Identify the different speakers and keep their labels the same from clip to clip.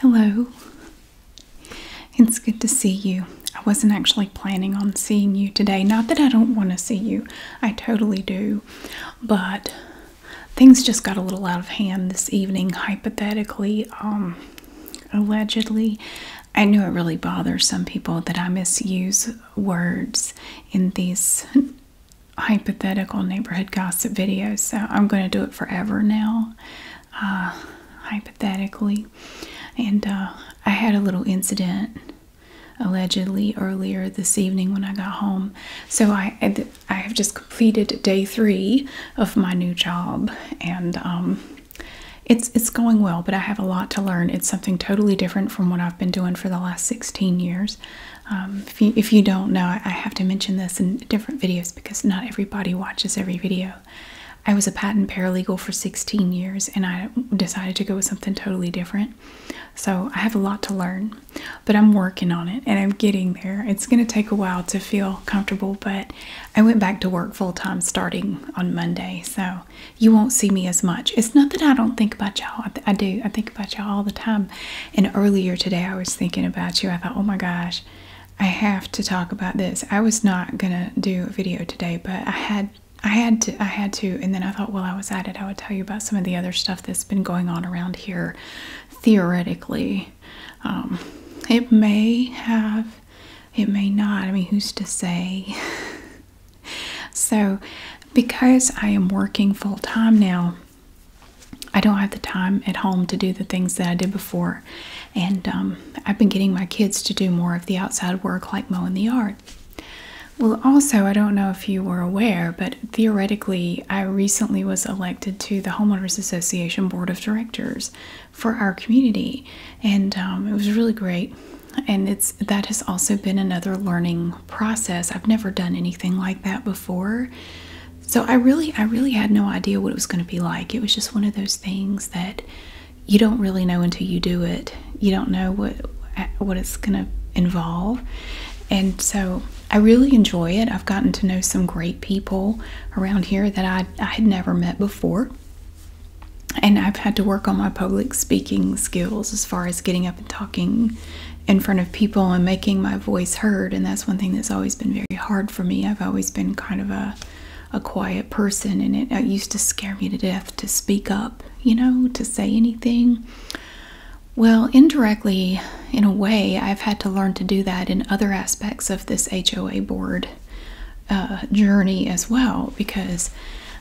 Speaker 1: Hello. It's good to see you. I wasn't actually planning on seeing you today. Not that I don't want to see you, I totally do. But things just got a little out of hand this evening, hypothetically, um, allegedly. I know it really bothers some people that I misuse words in these hypothetical neighborhood gossip videos, so I'm going to do it forever now, uh, hypothetically. And uh, I had a little incident allegedly earlier this evening when I got home. So I I have just completed day three of my new job, and um, it's it's going well. But I have a lot to learn. It's something totally different from what I've been doing for the last 16 years. Um, if you if you don't know, I have to mention this in different videos because not everybody watches every video. I was a patent paralegal for 16 years and I decided to go with something totally different. So I have a lot to learn, but I'm working on it and I'm getting there. It's going to take a while to feel comfortable, but I went back to work full time starting on Monday. So you won't see me as much. It's not that I don't think about y'all. I do. I think about y'all all the time. And earlier today, I was thinking about you. I thought, oh my gosh, I have to talk about this. I was not gonna do a video today, but I had I had to I had to and then I thought well, I was at it I would tell you about some of the other stuff that's been going on around here theoretically. Um, it may have it may not. I mean who's to say? so because I am working full time now I don't have the time at home to do the things that I did before, and um, I've been getting my kids to do more of the outside work like mowing the yard. Well, also, I don't know if you were aware, but theoretically, I recently was elected to the Homeowners Association Board of Directors for our community, and um, it was really great. And it's that has also been another learning process. I've never done anything like that before, so I really, I really had no idea what it was going to be like. It was just one of those things that you don't really know until you do it. You don't know what what it's going to involve, and so I really enjoy it. I've gotten to know some great people around here that I I had never met before. And I've had to work on my public speaking skills as far as getting up and talking in front of people and making my voice heard, and that's one thing that's always been very hard for me. I've always been kind of a a quiet person, and it, used to scare me to death to speak up, you know, to say anything. Well, indirectly, in a way, I've had to learn to do that in other aspects of this HOA board uh, journey as well. Because,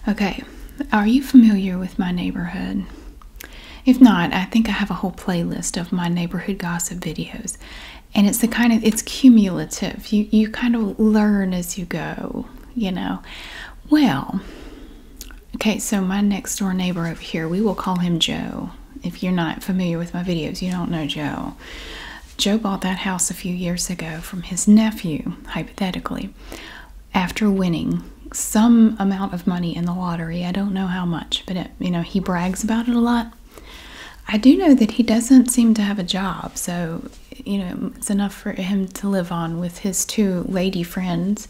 Speaker 1: okay, are you familiar with my neighborhood? If not, I think I have a whole playlist of my neighborhood gossip videos and it's the kind of it's cumulative you you kind of learn as you go you know well okay so my next door neighbor over here we will call him joe if you're not familiar with my videos you don't know joe joe bought that house a few years ago from his nephew hypothetically after winning some amount of money in the lottery i don't know how much but it, you know he brags about it a lot I do know that he doesn't seem to have a job, so you know it's enough for him to live on with his two lady friends,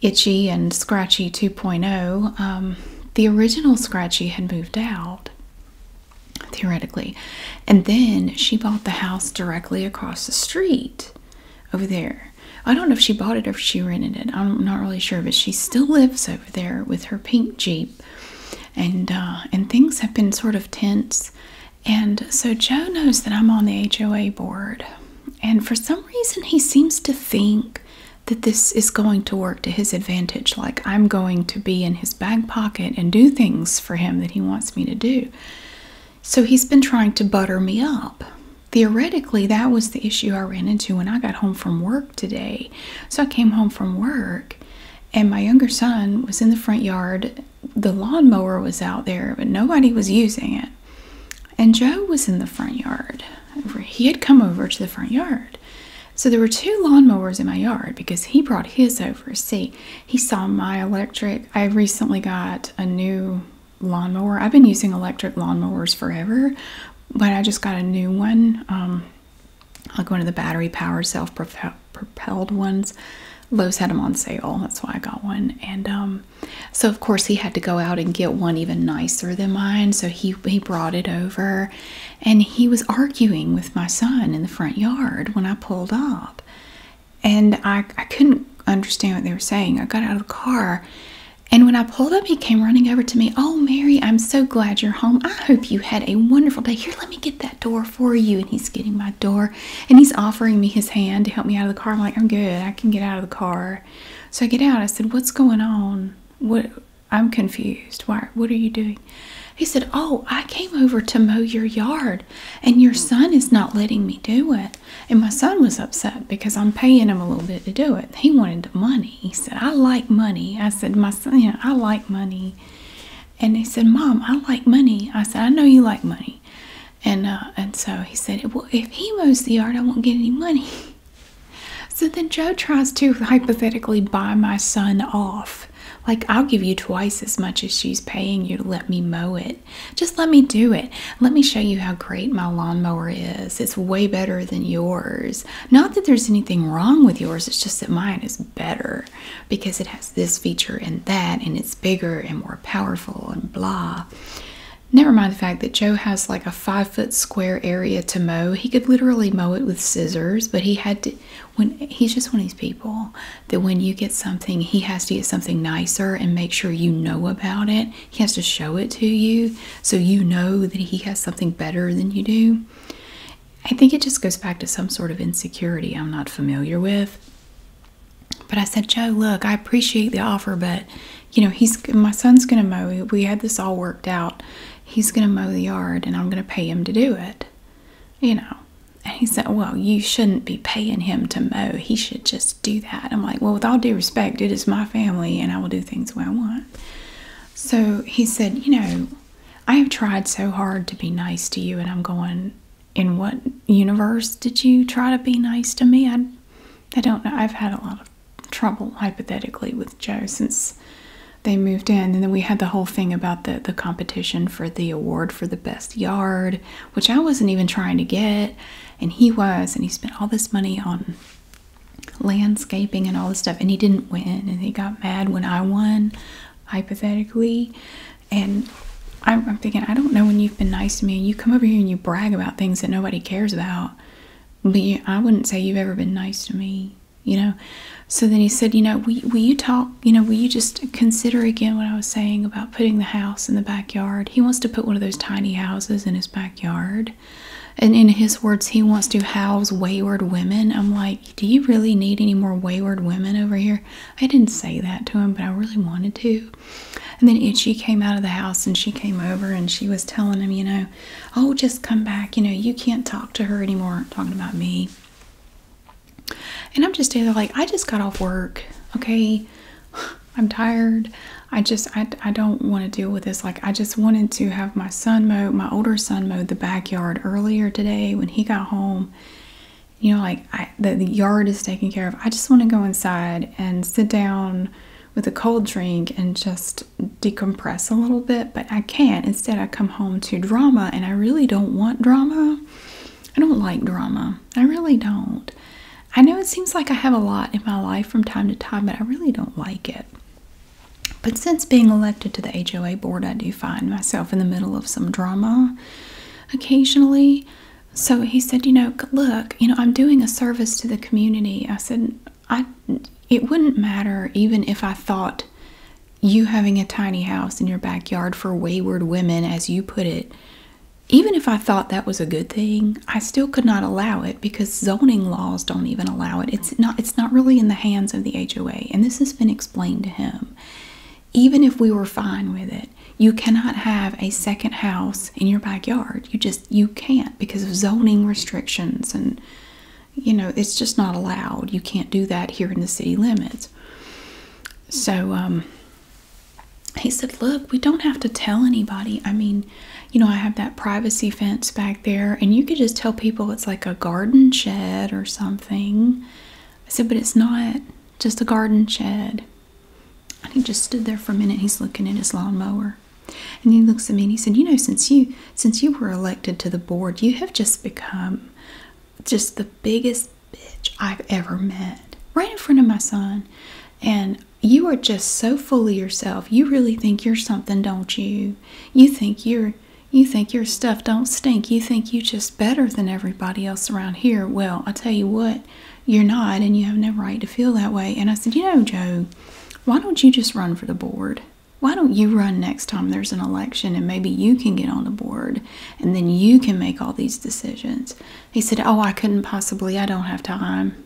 Speaker 1: Itchy and Scratchy 2.0. Um, the original Scratchy had moved out, theoretically, and then she bought the house directly across the street over there. I don't know if she bought it or if she rented it. I'm not really sure, but she still lives over there with her pink Jeep and uh, and things have been sort of tense and so joe knows that i'm on the hoa board and for some reason he seems to think that this is going to work to his advantage like i'm going to be in his back pocket and do things for him that he wants me to do so he's been trying to butter me up theoretically that was the issue i ran into when i got home from work today so I came home from work and my younger son was in the front yard. The lawnmower was out there, but nobody was using it. And Joe was in the front yard. He had come over to the front yard. So there were two lawnmowers in my yard because he brought his over. See, he saw my electric. I recently got a new lawnmower. I've been using electric lawnmowers forever, but I just got a new one. Um, like one of the battery powered self propelled ones. Lowe's had them on sale, that's why I got one. And um, so, of course, he had to go out and get one even nicer than mine. So he, he brought it over and he was arguing with my son in the front yard when I pulled up. And I, I couldn't understand what they were saying. I got out of the car and when I pulled up, he came running over to me. Oh, Mary, I'm so glad you're home. I hope you had a wonderful day. Here, let me get that door for you. And he's getting my door and he's offering me his hand to help me out of the car. I'm like, I'm good. I can get out of the car. So I get out. I said, What's going on? What? I'm confused. Why? What are you doing? He said, Oh, I came over to mow your yard and your hmm. son is not letting me do it. And my son was upset because I'm paying him a little bit to do it. He wanted the money. He said, I like money. I said, My Oh, you know, I like money. And he said, Mom, I like money. I said, I know you like money. And uh, and so he said, Well, if he mows the yard, I won't get any money. So then Joe tries to hypothetically buy my son off. Like, I'll give you twice as much as she's paying you to let me mow it. Just let me do it. Let me show you how great my lawnmower is. It's way better than yours. Not that there's anything wrong with yours, it's just that mine is better because it has this feature and that, and it's bigger and more powerful and blah. Never mind the fact that Joe has like a five foot square area to mow. He could literally mow it with scissors, but he had to. When he's just one of these people that when you get something, he has to get something nicer and make sure you know about it. He has to show it to you so you know that he has something better than you do. I think it just goes back to some sort of insecurity I'm not familiar with. But I said, Joe, look, I appreciate the offer, but you know, he's my son's gonna mow. We had this all worked out. He's gonna mow the yard, and I'm gonna pay him to do it. You know. And he said, Well, you shouldn't be paying him to mow. He should just do that. I'm like, Well, with all due respect, it is my family and I will do things the way I want. So he said, You know, I have tried so hard to be nice to you, and I'm going, in what universe did you try to be nice to me? I, don't know. I've had a lot of trouble, hypothetically, with Joe since they moved in. And then we had the whole thing about the, the competition for the award for the best yard, which I wasn't even trying to get. And he was, and he spent all this money on landscaping and all this stuff and he didn't win and he got mad when I won hypothetically and I'm, thinking I don't know when you've been nice to me you come over here and you brag about things that nobody cares about but I wouldn't say you've ever been nice to me you know so then he said you know will you talk you know will you just consider again what I was saying about putting the house in the backyard he wants to put one of those tiny houses in his backyard and in his words, he wants to house wayward women. I'm like, do you really need any more wayward women over here? I didn't say that to him, but I really wanted to. And then Itchy came out of the house and she came over and she was telling him, you know, oh, just come back. You know, you can't talk to her anymore. Talking about me. And I'm just there like, I just got off work. Okay. I'm tired. I just, I, I don't want to deal with this. Like, I just wanted to have my son mowed, my older son mowed the backyard earlier today when he got home. You know, like the yard is taken care of. I just want to go inside and sit down with a cold drink and just decompress a little bit, but I can't. Instead, I come home to drama, and I really don't want drama. I don't like drama. I really don't. I know it seems like I have a lot in my life from time to time, but I really don't like it. But since being elected to the HOA board, I do find myself in the middle of some drama occasionally. So he said, You know, look, you know, I'm doing a service to the community. I said, I, it wouldn't matter even if I thought you having a tiny house in your backyard for wayward women, as you put it, even if I thought that was a good thing, I still could not allow it because zoning laws don't even allow it. It's not it's not really in the hands of the HOA. And this is been explained to him. Even if we were fine with it, you cannot have a second house in your backyard. You just you can't because of zoning restrictions and you know, it's just not allowed. You can't do that here in the city limits. So um, he said, "Look, we don't have to tell anybody. I mean, you know, I have that privacy fence back there and you could just tell people it's like a garden shed or something." Thing, I said, but it's not just a garden shed. And he just stood there for a minute. He's looking at his lawnmower. And he looks at me and he said, You know, since you since you were elected to the board, you have just become just the biggest bitch I've ever met. Right in front of my son. And you are just so full of yourself. You really think you're something, don't you? You think you're you think your stuff don't stink. You think you just better than everybody else around here. Well, I tell you what, you're not, and you have no right to feel that way. And I said, You know, Joe, why don't you just run for the board? Why don't you run next time there's an election and maybe you can get on the board and then you can make all these decisions? He said, Oh, I couldn't possibly. I don't have time.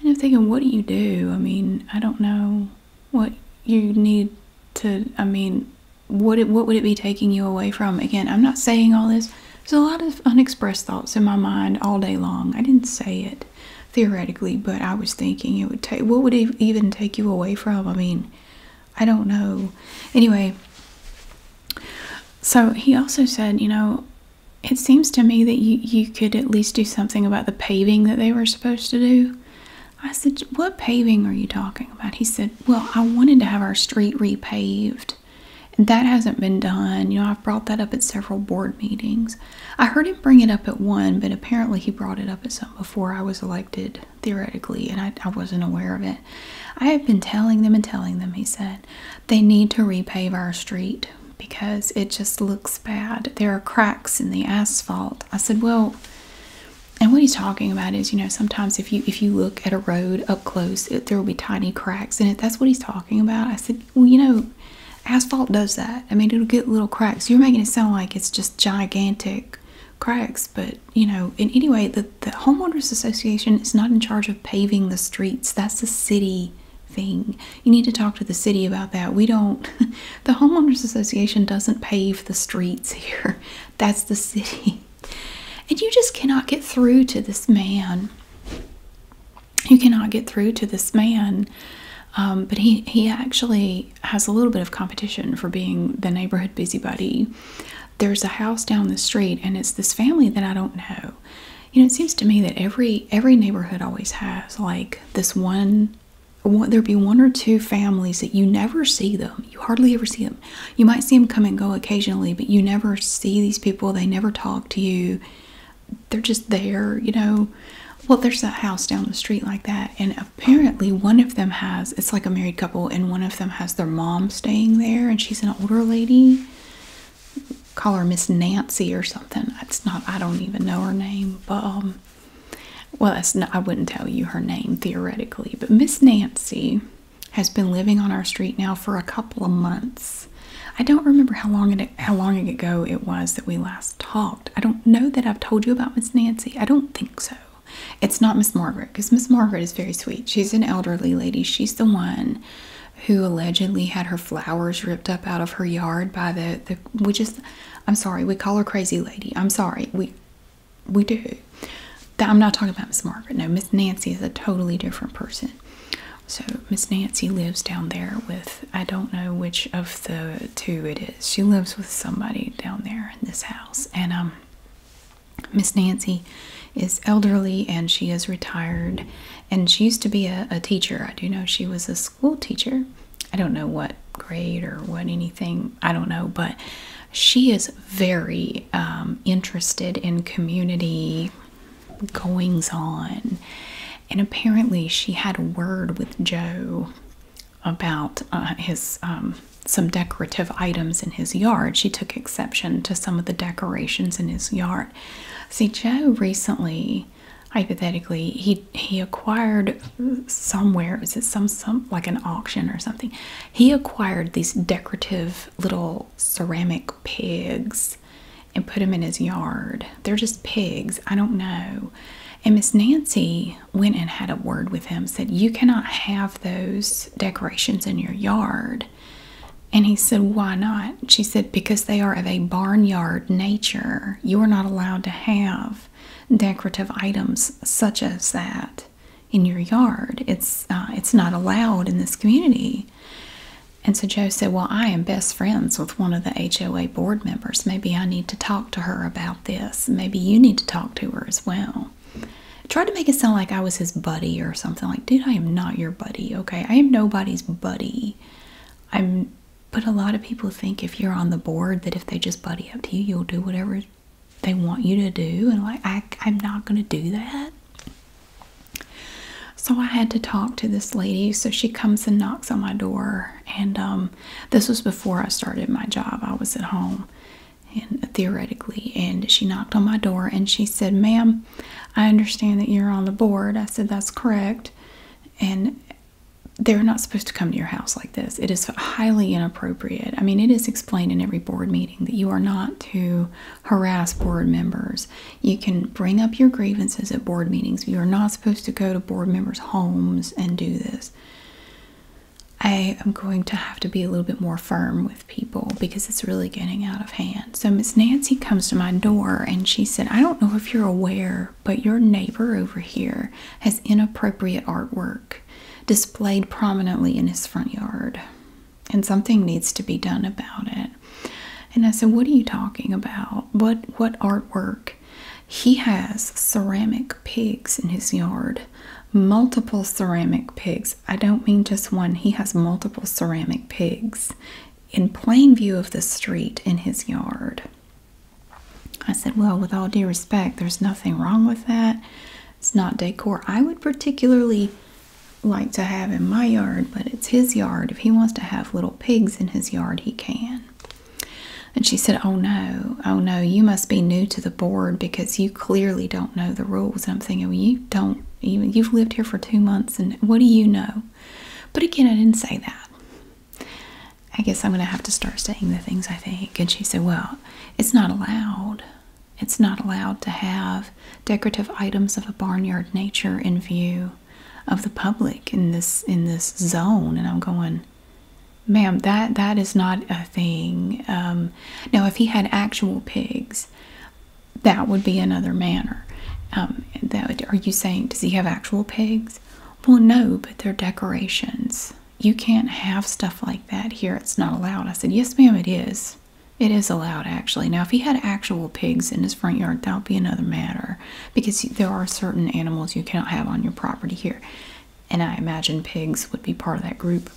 Speaker 1: And I'm thinking, What do you do? I mean, I don't know what you need to I mean what what would it be taking you away from? Again, I'm not saying all this. There's a lot of unexpressed thoughts in my mind all day long. I didn't say it theoretically, but I was thinking it would take what would it even take you away from? I mean, I don't know. Anyway, so he also said, you know, it seems to me that you, you could at least do something about the paving that they were supposed to do. I said, What paving are you talking about? He said, Well, I wanted to have our street repaved. And that hasn't been done. You know, I've brought that up at several board meetings. I heard him bring it up at one, but apparently he brought it up at some before I was elected, theoretically, and I, I wasn't aware of it. I have been telling them and telling them, he said, they need to repave our street because it just looks bad. There are cracks in the asphalt. I said, Well, and what he's talking about is you know sometimes if you if you look at a road up close it, there will be tiny cracks and it that's what he's talking about i said well you know asphalt does that i mean it'll get little cracks you're making it sound like it's just gigantic cracks but you know in any way, the, the homeowners association is not in charge of paving the streets that's a city thing you need to talk to the city about that we don't the homeowners association doesn't pave the streets here that's the city. And you just cannot get through to this man. You cannot get through to this man. Um, but he, he actually has a little bit of competition for being the neighborhood busybody. There's a house down the street, and it's this family that I don't know. You know, it seems to me that every every neighborhood always has like this one there'd be one or two families that you never see them. You hardly ever see them. You might see them come and go occasionally, but you never see these people. They never talk to you. They're just there, you know. Well, there's that house down the street like that, and apparently one of them has it's like a married couple, and one of them has their mom staying there, and she's an older lady. Call her Miss Nancy or something. It's not, I don't even know her name, but um, well, I wouldn't tell you her name theoretically, but Miss Nancy has been living on our street now for a couple of months. I don't remember how long it how long ago it was that we last talked. I don't know that I've told you about Miss Nancy. I don't think so. It's not Miss Margaret because Miss Margaret is very sweet. She's an elderly lady. She's the one who allegedly had her flowers ripped up out of her yard by the the we just I'm sorry, we call her crazy lady. I'm sorry. We we do. I'm not talking about Miss Margaret. No, Miss Nancy is a totally different person. So Miss Nancy lives down there with I don't know which of the two it is. She lives with somebody down there in this house, and um, Miss Nancy is elderly and she is retired, and she used to be a teacher. I do know she was a school teacher. I don't know what grade or what anything. I don't know, but she is very um, interested in community goings on. And apparently, she had a word with Joe about uh, his um, some decorative items in his yard. She took exception to some of the decorations in his yard. See, Joe recently, hypothetically, he he acquired somewhere. Was it some some like an auction or something? he acquired these decorative little ceramic pigs and put them in his yard. They're just pigs. I don't know. And Miss Nancy went and had a word with him, said, You cannot have those decorations in your yard. And he said, Why not? She said, Because they are of a barnyard nature. You are not allowed to have decorative items such as that in your yard. It's uh, it's not allowed in this community." And so Joe said, "Well, I am best friends with one of the HOA board members. Maybe I need to talk to her about this. Maybe you need to talk to her as well." tried to make it sound like I was his buddy or something. Like, dude, I am not your buddy. Okay, I am nobody's buddy. I'm. But a lot of people think if you're on the board that if they just buddy up to you, you'll do whatever they want you to do and like I, i'm not going to do that so i had to talk to this lady so she comes and knocks on my door and um, this was before i started my job i was at home and theoretically and she knocked on my door and she said ma'am i understand that you're on the board i said that's correct and they're not supposed to come to your house like this. It is highly inappropriate. I mean, it is explained in every board meeting that you are not to harass board members. You can bring up your grievances at board meetings. You are not supposed to go to board members' homes and do this. I am going to have to be a little bit more firm with people because it's really getting out of hand. So, Miss Nancy comes to my door and she said, I don't know if you're aware, but your neighbor over here has inappropriate artwork displayed prominently in his front yard. And something needs to be done about it. And I said, What are you talking about? What what artwork? He has ceramic pigs in his yard. Multiple ceramic pigs. I don't mean just one. He has multiple ceramic pigs in plain view of the street in his yard. I said, Well, with all due respect, there's nothing wrong with that. It's not decor. I would particularly like to have in my yard, but it's his yard. If he wants to have little pigs in his yard, he can. And she said, Oh no, oh no, you must be new to the board because you clearly don't know the rules. And I'm thinking, Well, you don't even, you've lived here for two months and what do you know? But again, I didn't say that. I guess I'm going to have to start saying the things I think. And she said, Well, it's not allowed. It's not allowed to have decorative items of a barnyard nature in view of the public in this in this zone. And I'm going, ma'am, that that is not a thing. Um, now, if he had actual pigs, that would be another matter. Um, that are you saying does he have actual pigs? Well, no, but they're decorations you can't have stuff like that here. It's not allowed. I said, Yes, ma'am, it is. It is allowed, actually. Now, if he had actual pigs in his front yard, that would be another matter because there are certain animals you cannot have on your property here. And I imagine pigs would be part of that group.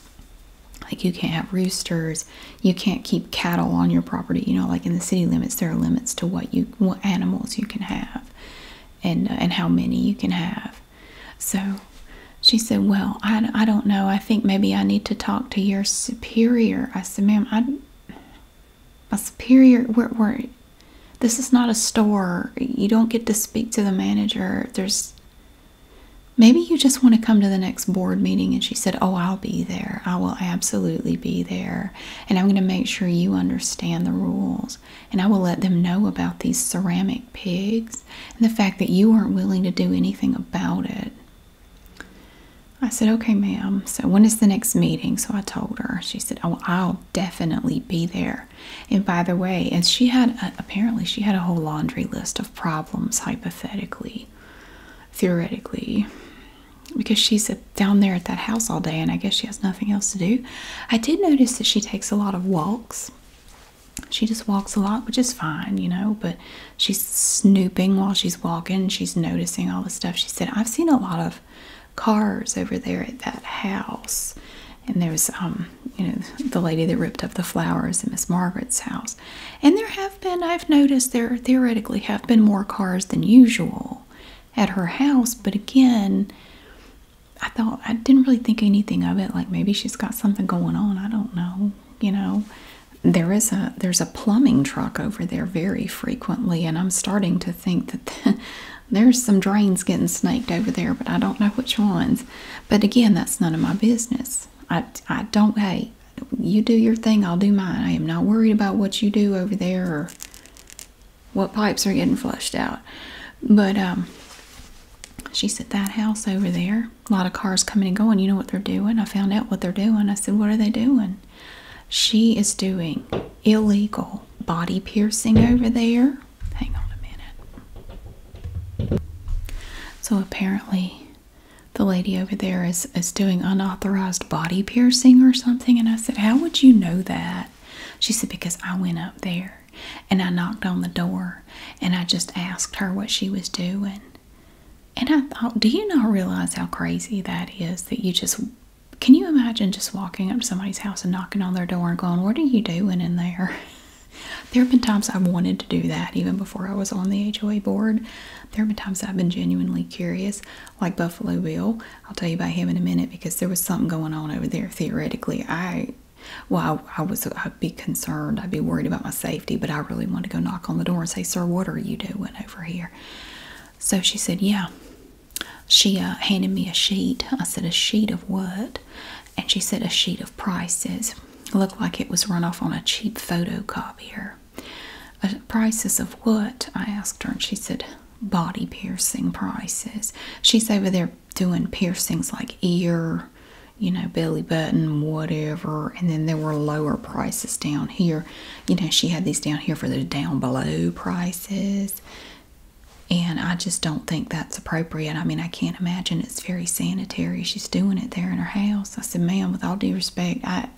Speaker 1: Like, you can't have roosters, you can't keep cattle on your property. You know, like in the city limits, there are limits to what you what animals you can have and, and how many you can have. So she said, Well, I, I don't know. I think maybe I need to talk to your superior. I said, Ma'am, I, my superior, we're, this is not a store. You don't get to speak to the manager. There's, maybe you just want to come to the next board meeting. And she said, Oh, I'll be there. I will absolutely be there. And I'm going to make sure you understand the rules. And I will let them know about these ceramic pigs and the fact that you weren't willing to do anything about it. I said, okay, ma'am. So, when is the next meeting? So, I told her. She said, oh, I'll definitely be there. And by the way, and she had apparently she had a whole laundry list of problems, hypothetically, theoretically, because she's down there at that house all day, and I guess she has nothing else to do. I did notice that she takes a lot of walks she just walks a lot, which is fine, you know, but she's snooping while she's walking. She's noticing all the stuff. She said, I've seen a lot of cars over there at that house. And there was, um, you know, the lady that ripped up the flowers in Miss Margaret's house. And there have been, I've noticed there theoretically have been more cars than usual at her house. But again, I thought, I didn't really think anything of it. Like maybe she's got something going on. I don't know you know there is a there's a plumbing truck over there very frequently and i'm starting to think that there's some drains getting snaked over there but i don't know which ones but again that's none of my business i i don't hey you do your thing i'll do mine i am not worried about what you do over there or what pipes are getting flushed out but um she said that house over there a lot of cars coming and going. You know what they're doing? I found out what they're doing. I said, What are they doing? She is doing illegal body piercing over there. Hang on a minute. So apparently, the lady over there is, is doing unauthorized body piercing or something. And I said, How would you know that? She said, Because I went up there and I knocked on the door and I just asked her what she was doing. And I thought, do you not realize how crazy that is? That you just can you imagine just walking up to somebody's house and knocking on their door and going, What are you doing in there? there have been times I've wanted to do that even before I was on the HOA board. There have been times I've been genuinely curious, like Buffalo Bill. I'll tell you about him in a minute because there was something going on over there theoretically. I well, I, was, I'd be concerned, I'd be worried about my safety, but I really wanted to go knock on the door and say, Sir, what are you doing over here? So she said, Yeah. She uh, handed me a sheet. I said, A sheet of what? And she said, A sheet of prices. Looked like it was run off on a cheap photocopier. Uh, prices of what? I asked her, and she said, Body piercing prices. She's over there doing piercings like ear, you know, belly Button, whatever, and then there were lower prices down here. You know, she had these down here for the down below prices, and I just don't think that's appropriate. I mean, I can't imagine it's very sanitary. She's doing it there in her house. I said, ma'am, with all due respect, I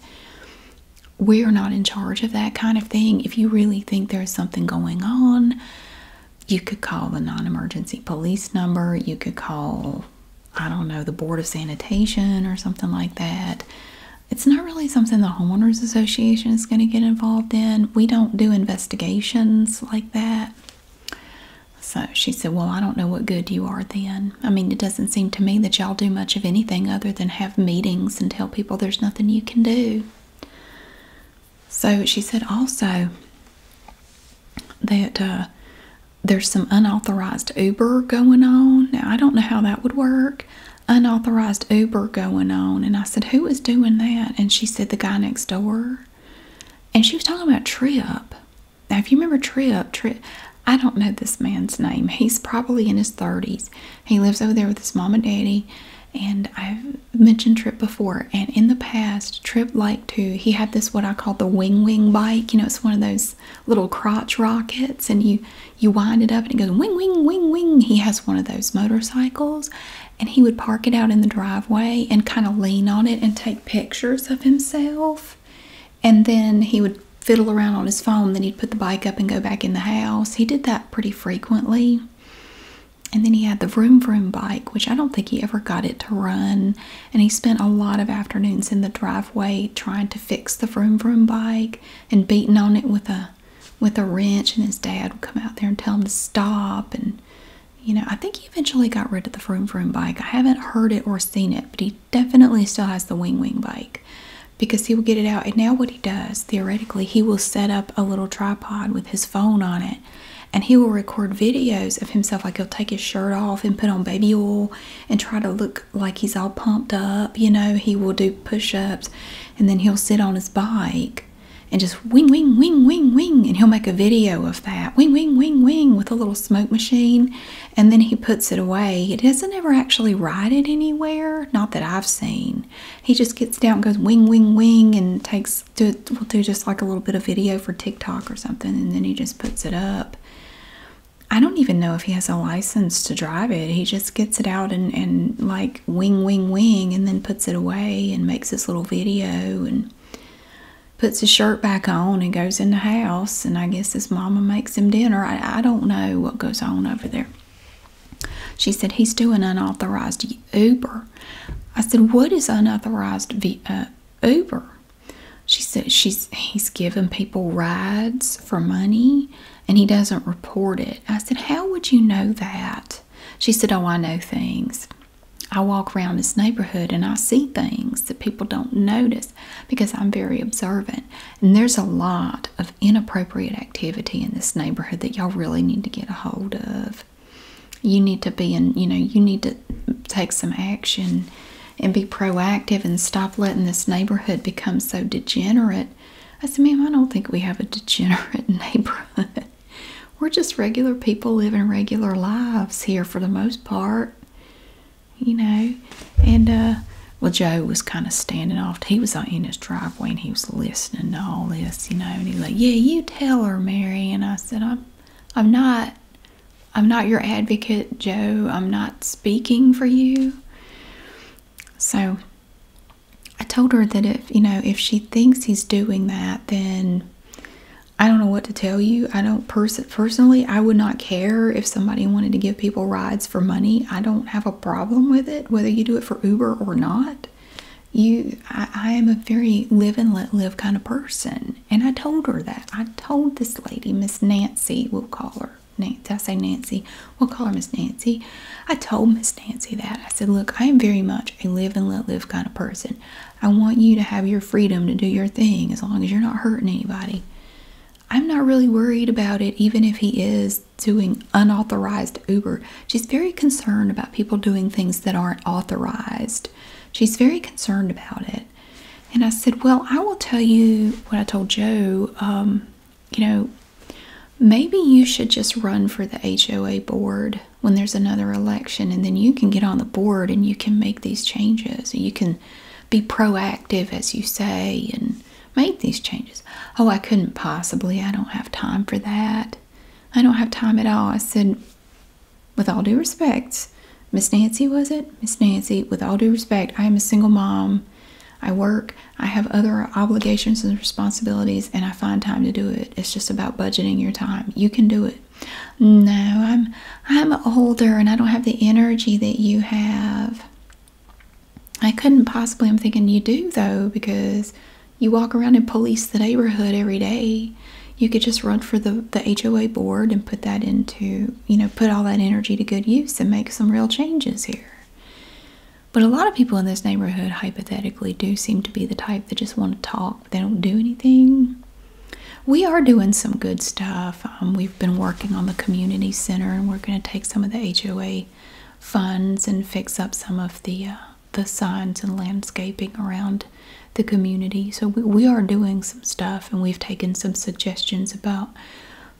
Speaker 1: we're not in charge of that kind of thing. If you really think there's something going on, you could call the non emergency police number, you could call I don't know, the Board of Sanitation or something like that. It's not really something the Homeowners Association is going to get involved in. We don't do investigations like that. So she said, Well, I don't know what good you are then. I mean, it doesn't seem to me that y'all do much of anything other than have meetings and tell people there's nothing you can do. So she said also that uh, there's some unauthorized Uber going on. Now, I don't know how that would work. Unauthorized Uber going on. And I said, Who is doing that? And she said, The guy next door. And she was talking about Trip. Now, if you remember Trip, Trip, I don't know this man's name. He's probably in his 30s. He lives over there with his mom and daddy. And I've mentioned Trip before. And in the past, Trip liked to, he had this, what I call the wing wing bike. You know, it's one of those little crotch rockets and you you wind it up and it goes wing wing wing wing he has one of those motorcycles and he would park it out in the driveway and kind of lean on it and take pictures of himself and then he would fiddle around on his phone then he'd put the bike up and go back in the house he did that pretty frequently and then he had the vroom vroom bike which i don't think he ever got it to run and he spent a lot of afternoons in the driveway trying to fix the vroom vroom bike and beating on it with a with a wrench and his dad would come out there and tell him to stop and you know I think he eventually got rid of the vroom vroom bike. I haven't heard it or seen it, but he definitely still has the wing wing bike because he will get it out and now what he does theoretically he will set up a little tripod with his phone on it and he will record videos of himself like he'll take his shirt off and put on baby oil and try to look like he's all pumped up. You know, he will do push ups and then he'll sit on his bike and just wing, wing, wing, wing, wing. And he'll make a video of that wing, wing, wing, wing with a little smoke machine. And then he puts it away. He doesn't ever actually ride it anywhere, not that I've seen. He just gets down, goes wing, wing, wing, and takes, do, will do just like a little bit of video for TikTok or something. And then he just puts it up. I don't even know if he has a license to drive it. He just gets it out and, and like wing, wing, wing, and then puts it away and makes this little video and puts his shirt back on and goes in the house. And I guess his mama makes him dinner. I, I don't know what goes on over there. She said, He's doing unauthorized Uber. I said, What is unauthorized v uh, Uber? She said he's given people rides for money and he doesn't report it. I said, How would you know that? She said, Oh, I know things. I walk around this neighborhood and I see things that people don't notice because I'm very observant. And there's a lot of inappropriate activity in this neighborhood that y'all really need to get a hold of. You need to be in, you know, you need to take some action and be proactive and stop letting this neighborhood become so degenerate. I said, ma'am, I don't think we have a degenerate neighborhood. We're just regular people living regular lives here for the most part, you know. And, uh, well, Joe was kind of standing off. He was uh, in his driveway and he was listening to all this, you know. And he was like, yeah, you tell her, Mary. And I said, I'm, I'm not. I'm not your advocate, Joe. I'm not speaking for you. So I told her that if, you know, if she thinks he's doing that, then I don't know what to tell you. I don't pers personally, I would not care if somebody wanted to give people rides for money. I don't have a problem with it, whether you do it for Uber or not. You, I am a very live and let live kind of person. And I told her that. I told this lady, Miss Nancy, we'll call her. Nancy, I say Nancy, we'll call her Miss Nancy. I told Miss Nancy that. I said, Look, I am very much a live and let live kind of person. I want you to have your freedom to do your thing as long as you're not hurting anybody. I'm not really worried about it, even if he is doing unauthorized Uber. She's very concerned about people doing things that aren't authorized. She's very concerned about it. And I said, Well, I will tell you what I told Joe. Um, you know, maybe you should just run for the HOA board when there's another election, and then you can get on the board and you can make these changes. You can be proactive, as you say, and make these changes. Oh, I couldn't possibly. I don't have time for that. I don't have time at all. I said, with all due respect, Miss Nancy, was it? Miss Nancy, with all due respect, I am a single mom. I work, I have other obligations and responsibilities, and I find time to do it. It's just about budgeting your time. You can do it. No, I'm I'm older and I don't have the energy that you have. I couldn't possibly. I'm thinking you do though because you walk around and police the neighborhood every day. You could just run for the the HOA board and put that into you know, put all that energy to good use and make some real changes here. But a lot of people in this neighborhood, hypothetically, do seem to be the type that just want to talk, but they don't do anything. We are doing some good stuff. Um, we've been working on the community center, and we're going to take some of the HOA funds and fix up some of the uh, the signs and landscaping around the community. So we are doing some stuff, and we've taken some suggestions about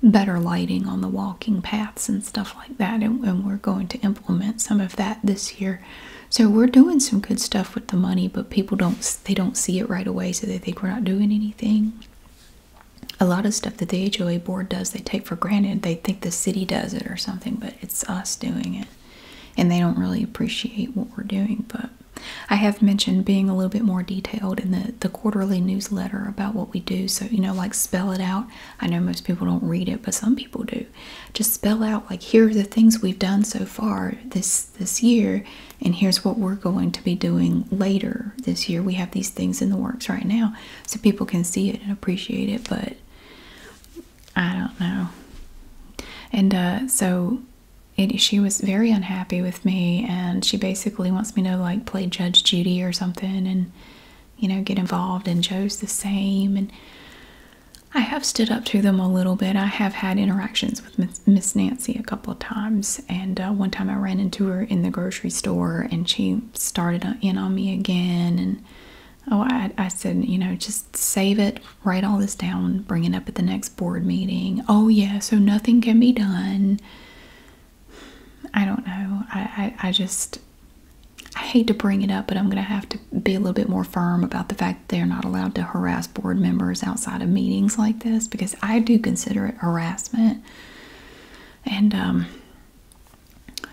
Speaker 1: better lighting on the walking paths and stuff like that. And, we're going to implement some of that this year. So we're doing some good stuff with the money, but people don't they don't see it right away, so they think we're not doing anything. A lot of stuff that the HOA board does, they take for granted. They think the city does it or something, but it's us doing it. And they don't really appreciate what we're doing, but I have mentioned being a little bit more detailed in the, the quarterly newsletter about what we do. So, you know, like spell it out. I know most people don't read it, but some people do. Just spell out like here are the things we've done so far this this year, and here's what we're going to be doing later this year. We have these things in the works right now, so people can see it and appreciate it, but I don't know. And uh, so she was very unhappy with me and she basically wants me to like play Judge Judy or something and you know get involved and Joe's the same and I have stood up to them a little bit. I have had interactions with Miss Nancy a couple of times, and uh, one time I ran into her in the grocery store, and she started uh, in on me again. And oh, I said, you know, just save it, write all this down, bring it up at the next board meeting. Oh yeah, so nothing can be done. I don't know. I, I, just, I hate to bring it up, but I'm going to have to be a little bit more firm about the fact that they're not allowed to harass board members outside of meetings like this because I do consider it harassment. And um,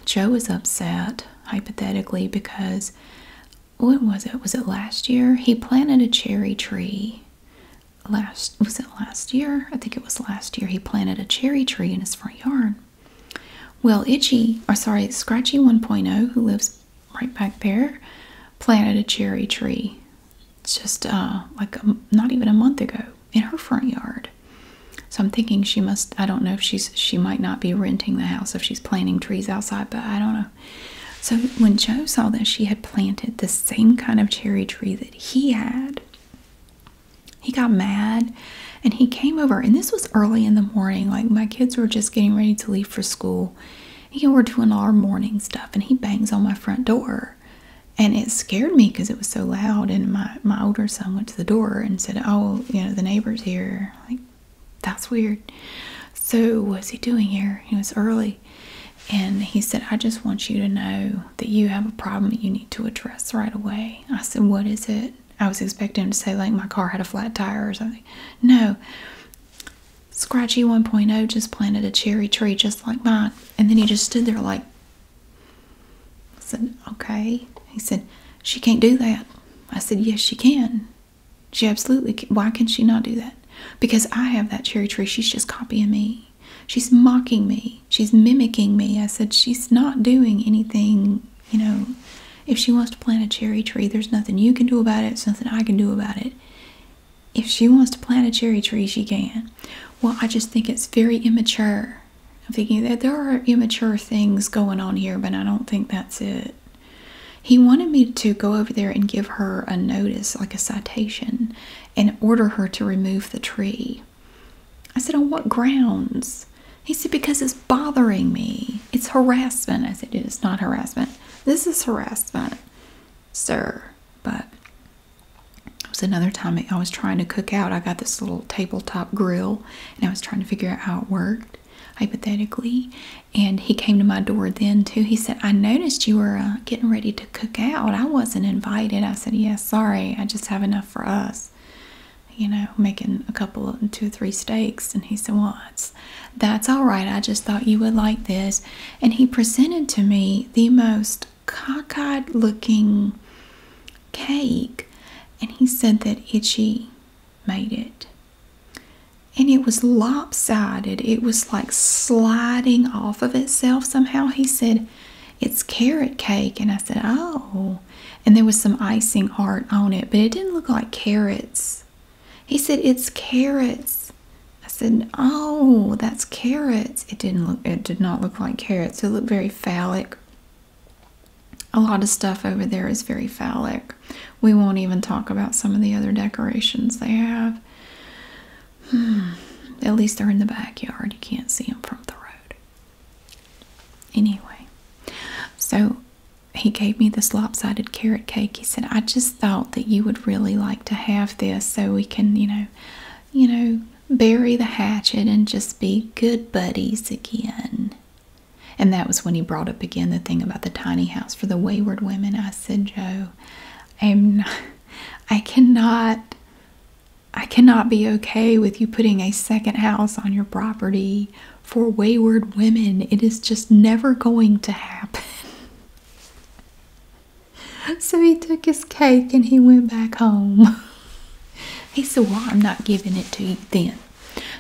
Speaker 1: Joe is upset, hypothetically, because what was it? Was it last year? He planted a cherry tree last was it last year? I think it was last year he planted a cherry tree in his front yard. Well, Itchy, or sorry, Scratchy 1.0, who lives right back there, planted a cherry tree just uh, like not even a month ago in her front yard. So I'm thinking she must, I don't know if she's, she might not be renting the house if she's planting trees outside, but I don't know. So when Joe saw that she had planted the same kind of cherry tree that he had, he got mad and he came over, and this was early in the morning. Like, my kids were just getting ready to leave for school. He were doing our morning stuff, and he bangs on my front door. And it scared me because it was so loud. And my, my older son went to the door and said, Oh, you know, the neighbor's here. Like, that's weird. So, what's he doing here? He was early. And he said, I just want you to know that you have a problem that you need to address right away. I said, What is it? I was expecting him to say, like, my car had a flat tire or something. No. Scratchy 1.0 just planted a cherry tree just like mine. And then he just stood there, like, I said, Okay. He said, She can't do that. I said, Yes, she can. She absolutely Why can not she not do that? Because I have that cherry tree. She's just copying me. She's mocking me. She's mimicking me. I said, She's not doing anything, you know. If she wants to plant a cherry tree, there's nothing you can do about it, it's nothing I can do about it. If she wants to plant a cherry tree, she can. Well, I just think it's very immature. I'm thinking that there are immature things going on here, but I don't think that's it. He wanted me to go over there and give her a notice, like a citation, and order her to remove the tree. I said, On what grounds? He said, Because it's bothering me. It's harassment. I said, It's not harassment. This is harassment, sir. But it was another time I was trying to cook out. I got this little tabletop grill and I was trying to figure out how it worked, hypothetically. And he came to my door then, too. He said, I noticed you were uh, getting ready to to cook out. I wasn't invited. I said, Yes, sorry, I just have enough for us. You know, making a couple of two or three steaks. And he said, Well, that's all right. I just thought you would like this. And he presented to me the most cockeyed looking cake. And he said that Itchy made it. And it was lopsided. It was like sliding off of itself somehow. He said, it's carrot cake. And I said, Oh. And there was some icing art on it, but it didn't look like carrots. He said, It's carrots. I said, Oh, that's carrots. It didn't look it did not look like carrots. It looked very phallic. A lot of stuff over there is very phallic. We won't even talk about some of the other decorations they have. Hmm. At least they're in the backyard. You can't see them from the road. Anyway, so he gave me this lopsided carrot cake. He said, I just thought that you would really like to have this so we can, you know, you know, bury the hatchet and just be good buddies again. And that was when he brought up again the thing about the tiny house for the wayward women. I said, Joe, I am not, I cannot I cannot be okay with you putting a second house on your property for wayward women. It is just never going to happen. so he took his cake and he went back home. he said, Well, I'm not giving it to you then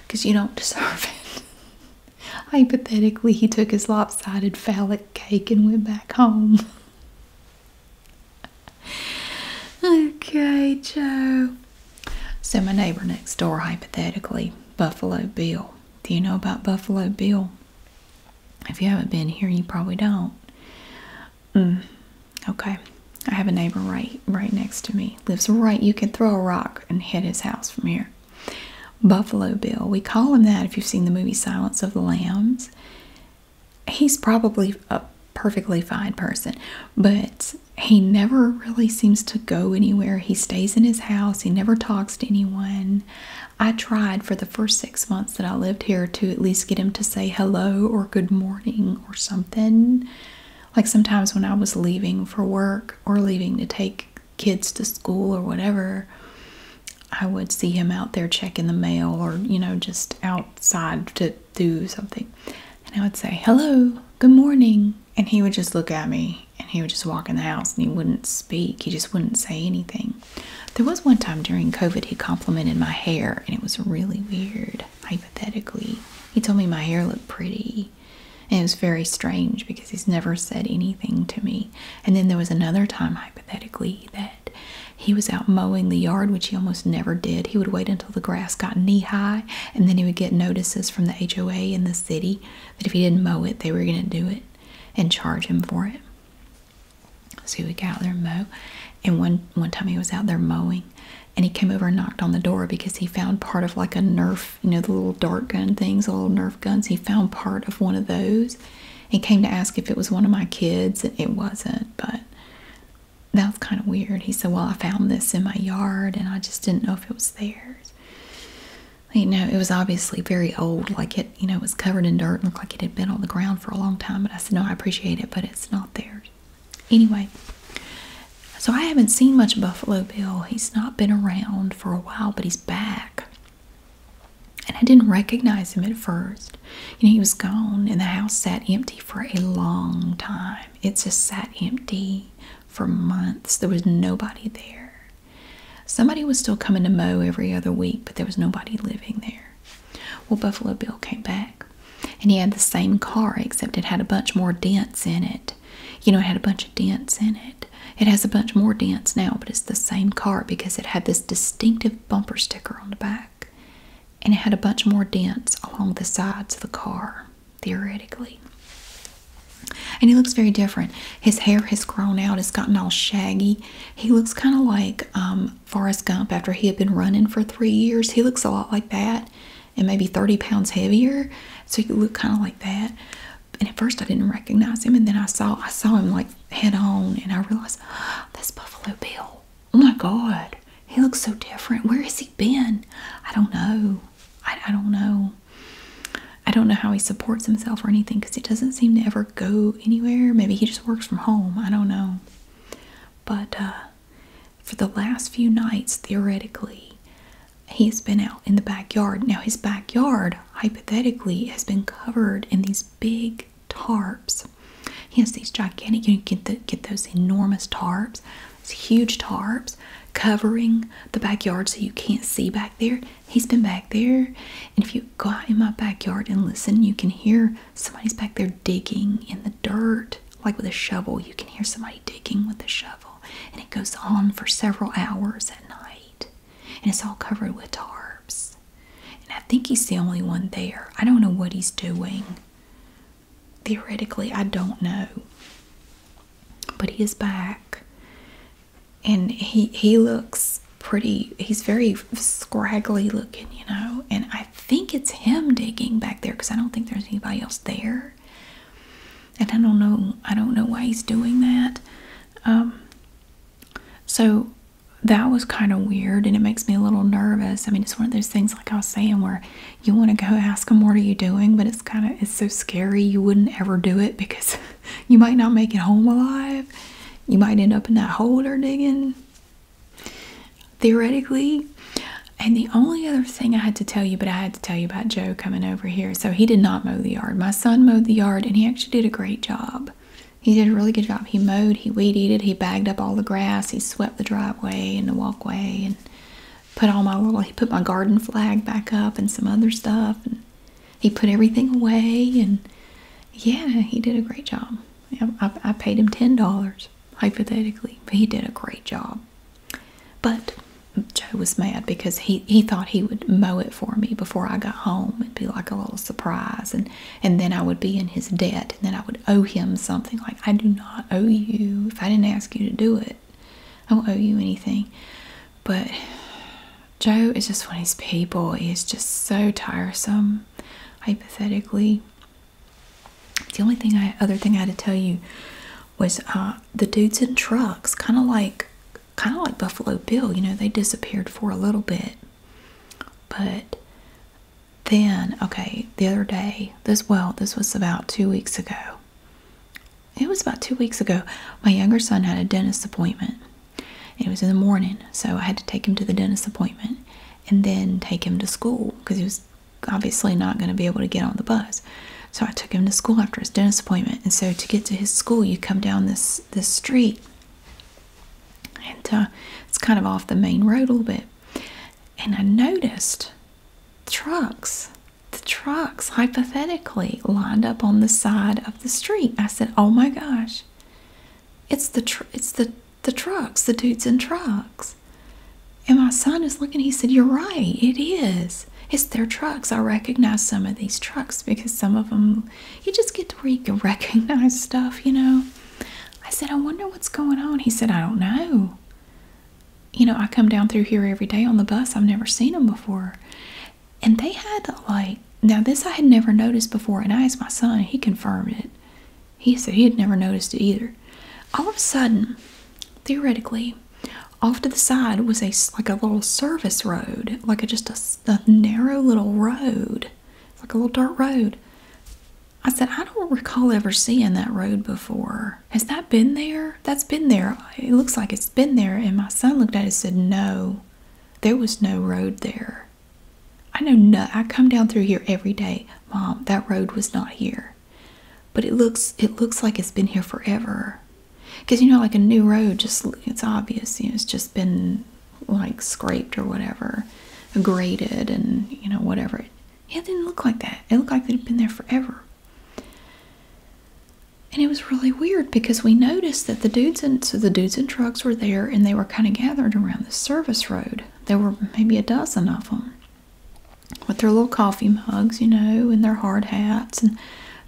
Speaker 1: because you don't deserve it. Hypothetically, he took his lopsided phallic cake and went back home okay, Joe. So, my neighbor next door, hypothetically, Buffalo Bill. Do you know about Buffalo Bill? If you haven't been here, you probably don't. Mm. Okay. I have a neighbor right right next to me. Lives right. You can throw a rock and hit his house from here. Buffalo Bill. We call him that if you've seen the movie Silence of the Lambs he's probably a perfectly fine person, but he never really seems to go anywhere. He stays in his house, he never talks to anyone. I tried for the first six months that I lived here to at least get him to say hello or good morning or something. Like sometimes when I was leaving for work or leaving to take kids to school or whatever, I would see him out there checking the mail or, you know, just outside to do something. And I would say, hello, good morning. And he would just look at me and he would just walk in the house and he wouldn't speak. He just wouldn't say anything. There was one time during COVID, he complimented my hair and it was really weird, hypothetically. He told me my hair looked pretty. And it was very strange because he's never said anything to me. And then there was another time, hypothetically, that he was out mowing the yard, which he almost never did. He would wait until the grass got knee high, and then he would get notices from the HOA in the city that if he didn't mow it, they were going to do it and charge him for it. So he would go out there and mow. And one, one time he was out there mowing, and he came over and knocked on the door because he found part of like a Nerf, you know, the little dart gun things, little Nerf guns. He found part of one of those and came to ask if it was one of my kids. and It wasn't, but that was kind of weird. He said, Well, I found this in my yard and I just didn't know if it was theirs. You know, it was obviously very old, like it, you know, was covered in dirt and looked like it had been on the ground for a long time. And I said, No, I appreciate it, but it's not theirs. Anyway, so I haven't seen much Buffalo Bill. He's not been around for a while, but he's back. And I didn't recognize him at first. You know, he was gone, and the house sat empty for a long time. It just sat empty for months. There was nobody there. Somebody was still coming to mow every other week, but there was nobody living there. Well, Buffalo Bill came back, and he had the same car, except it had a bunch more dents in it. You know, it had a bunch of dents in it. It has a bunch more dents now, but it's the same car because it had this distinctive bumper sticker on the back and it had a bunch more dents along the sides of the car, theoretically. And he looks very different. His hair has grown out, it's gotten all shaggy. He looks kind of like um, Forrest Gump after he had been running for three years. He looks a lot like that and maybe 30 pounds heavier. So he could look kind of like that. And at first I didn't recognize him and then I saw I saw him like head on and I realized oh, that's Buffalo Bill oh my god he looks so different where has he been i don't know i, don't know i don't know how he supports himself or anything because he doesn't seem to ever go anywhere maybe he just works from home i don't know but uh, for the last few nights theoretically he's been out in the backyard now his backyard hypothetically has been covered in these big tarps. He has these gigantic, you get, the, get those enormous tarps, these huge tarps covering the backyard so you can't see back there. He's been back there. And if you go out in my backyard and listen, you can hear somebody's back there digging in the dirt, like with a shovel. You can hear somebody digging with a shovel. And it goes on for several hours at night. And it's all covered with tarps. And I think he's the only one there. I don't know what he's doing theoretically, I don't know. But he is back, and he he looks pretty. He's very scraggly looking, you know. And I think it's him digging back there because I don't think there's anybody else there. And I don't know. I don't know why he's doing that. Um, so that was kind of weird, and it makes me a little nervous. I mean, it's one of those things like I was saying where you want to go ask them what are you doing, but it's kind of it's so scary you wouldn't ever do it because you might not make it home alive. You might end up in that hole they're digging. Theoretically. And the only other thing I had to tell you, but I had to tell you about Joe coming over here. So he did not mow the yard. My son mowed the yard and he actually did a great job. He did a really good job. He mowed he weed eated, he bagged up all the grass, he swept the driveway and the walkway and put all my little he put my garden flag back up and some other stuff and he put everything away and yeah, he did a great job. I, paid him ten dollars hypothetically, but he did a great job. But Joe was mad because he he thought he would mow it for me before I got home. It'd be like a little surprise, and and then I would be in his debt and then I would owe him something. Like, I do not owe you. If I didn't ask you to do it, I will not owe you anything. But Joe is just one of these people. He is just so tiresome, hypothetically. The only thing I, other thing I had to tell you was uh, the dudes in trucks, kind of like, kind of like Buffalo Bill. You know, they disappeared for a little bit, but then okay the other day this well this was about two weeks ago it was about two weeks ago my younger son had a dentist appointment it was in the morning so i had to take him to the dentist appointment and then take him to school because he was obviously not going to be able to get on the bus so i took him to school after his dentist appointment and so to get to his school you come down this this street and uh, it's kind of off the main road a little bit and I noticed trucks, the trucks hypothetically lined up on the side of the street. I said, "Oh my gosh, it's the tr it's the the trucks, the dudes in trucks." And my son is looking. He said, "You're right. It is. It's their trucks. I recognize some of these trucks because some of them, you just get to where you can recognize stuff, you know." I said, "I wonder what's going on." He said, "I don't know." you know, I come down through here every day on the bus. I've never seen them before. And they had like, now this I had never noticed before. And I asked my son, he confirmed it. He said he had never noticed it either. All of a sudden, theoretically, off to the side was a like a little service road, like a, just a, narrow little road, like a little dirt road. I said, I don't recall ever seeing that road before. Has that been there? That's been there. It looks like it's been there. And my son looked at it and said, No, there was no road there. I know I come down through here every day. Mom, that road was not here. But it looks it looks like it's been here forever. Cause you know, like a new road just it's obvious, you know, it's just been like scraped or whatever, graded and you know, whatever. It didn't look like that. It looked like they had been there forever. And it was really weird because we noticed that the dudes and the dudes and trucks were there and they were kind of gathered around the service road. There were maybe a dozen of them with their little coffee mugs, you know, and their hard hats and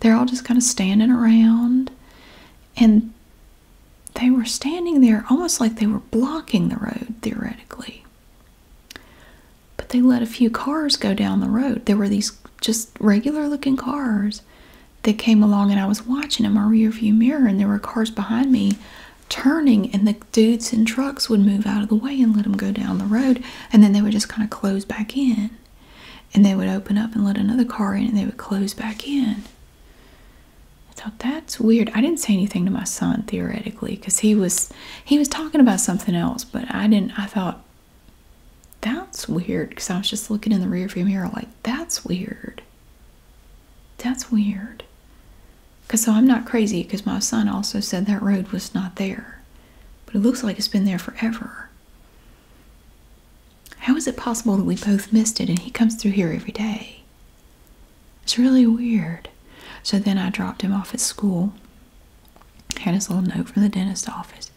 Speaker 1: they're all just kind of standing around and they were standing there almost like they were blocking the road theoretically. But they let a few cars go down the road. There were these just regular looking cars that came along, and I was watching them in my rear view mirror, and there were cars behind me turning, and the dudes in trucks would move out of the way and let them go down the road, and then they would just kind of close back in. And they would open up and let another car in, and they would close back in. thought that that's weird. I didn't say anything to my son theoretically because he was he was talking about something else, but I didn't. I thought that's weird because I was just looking in the rearview mirror like that's weird. That's weird. Cause so I'm not crazy because my son also said that road was not there, but it looks like it's been there forever. How is it possible that we both missed it and he comes through here every day? It's really weird. So then I dropped him off at school. Had his little note from the dentist office.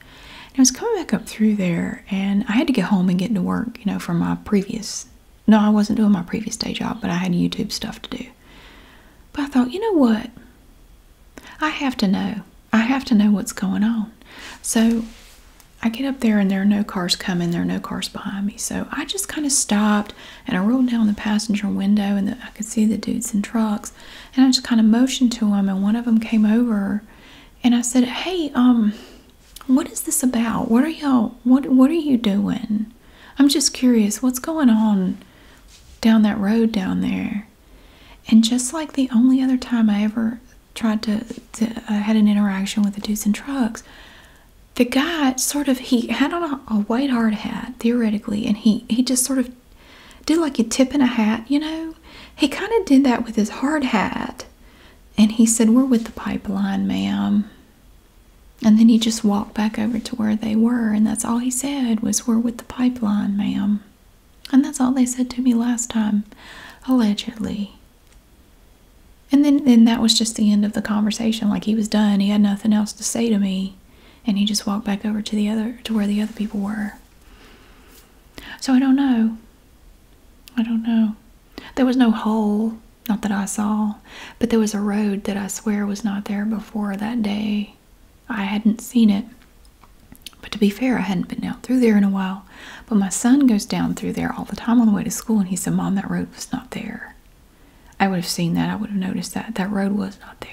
Speaker 1: I was coming back up through there and I had to get home and get into work, you know, from my previous no, I wasn't doing my previous day job, but I had YouTube stuff to do. But I thought, you know what? I have to know. I have to know what's going on. So I get up there and there are no cars coming, there are no cars behind me. So I just kind of stopped and I rolled down the passenger window and the, I could see the dudes in trucks, and I just kind of motioned to them, and one of them came over, and I said, "Hey, um, what is this about? What are y'all? What What are you doing? I'm just curious. What's going on down that road down there?" And just like the only other time I ever tried to, to I had an interaction with the dudes in trucks, the guy sort of he had on a a white hard hat theoretically and he he just sort of did like a tip in a hat you know he kind of did that with his hard hat and he said we're with the pipeline ma'am and then he just walked back over to where they were and that's all he said was we're with the pipeline ma'am and that's all they said to me last time allegedly and then then that was just the end of the conversation like he was done he had nothing else to say to me and he just walked back over to the other to where the other people were. So I don't know. I don't know. There was no hole, not that I saw, but there was a road that I swear was not there before that day. I hadn't seen it. But to be fair, I hadn't been down through there in a while. But my son goes down through there all the time on the way to school, and he said, Mom, that road was not there. I would have seen that. I would have noticed that. That road was not there.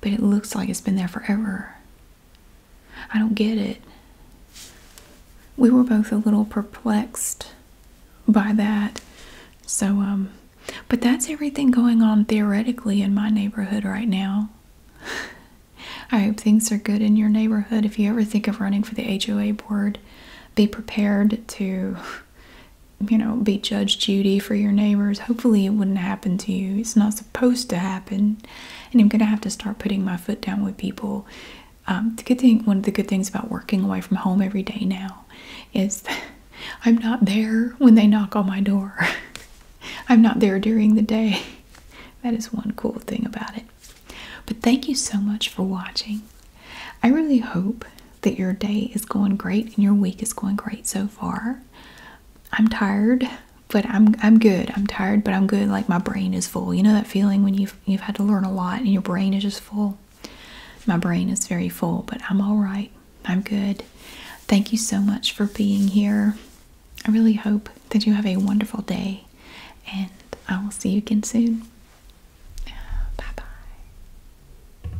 Speaker 1: But it looks like it's been there forever. I don't get it. We were both a little perplexed by that. So, um, but that's everything going on theoretically in my neighborhood right now. I hope things are good in your neighborhood. If you ever think of running for the HOA board, be prepared to you know, be Judge Judy for your neighbors. Hopefully, it wouldn't happen to you. It's not supposed to happen. And I'm going to have to start putting my foot down with people. Um, the good thing, one of the good things about working away from home every day now is I'm not there when they knock on my door. I'm not there during the day. That is one cool thing about it. But thank you so much for watching. I really hope that your day is going great and your week is going great so far. I'm tired, but I'm I'm good. I'm tired, but I'm good. Like my brain is full. You know that feeling when you've you've had to learn a lot and your brain is just full. My brain is very full, but I'm all right. I'm good. Thank you so much for being here. I really hope that you have a wonderful day and I will see you again soon. Bye bye.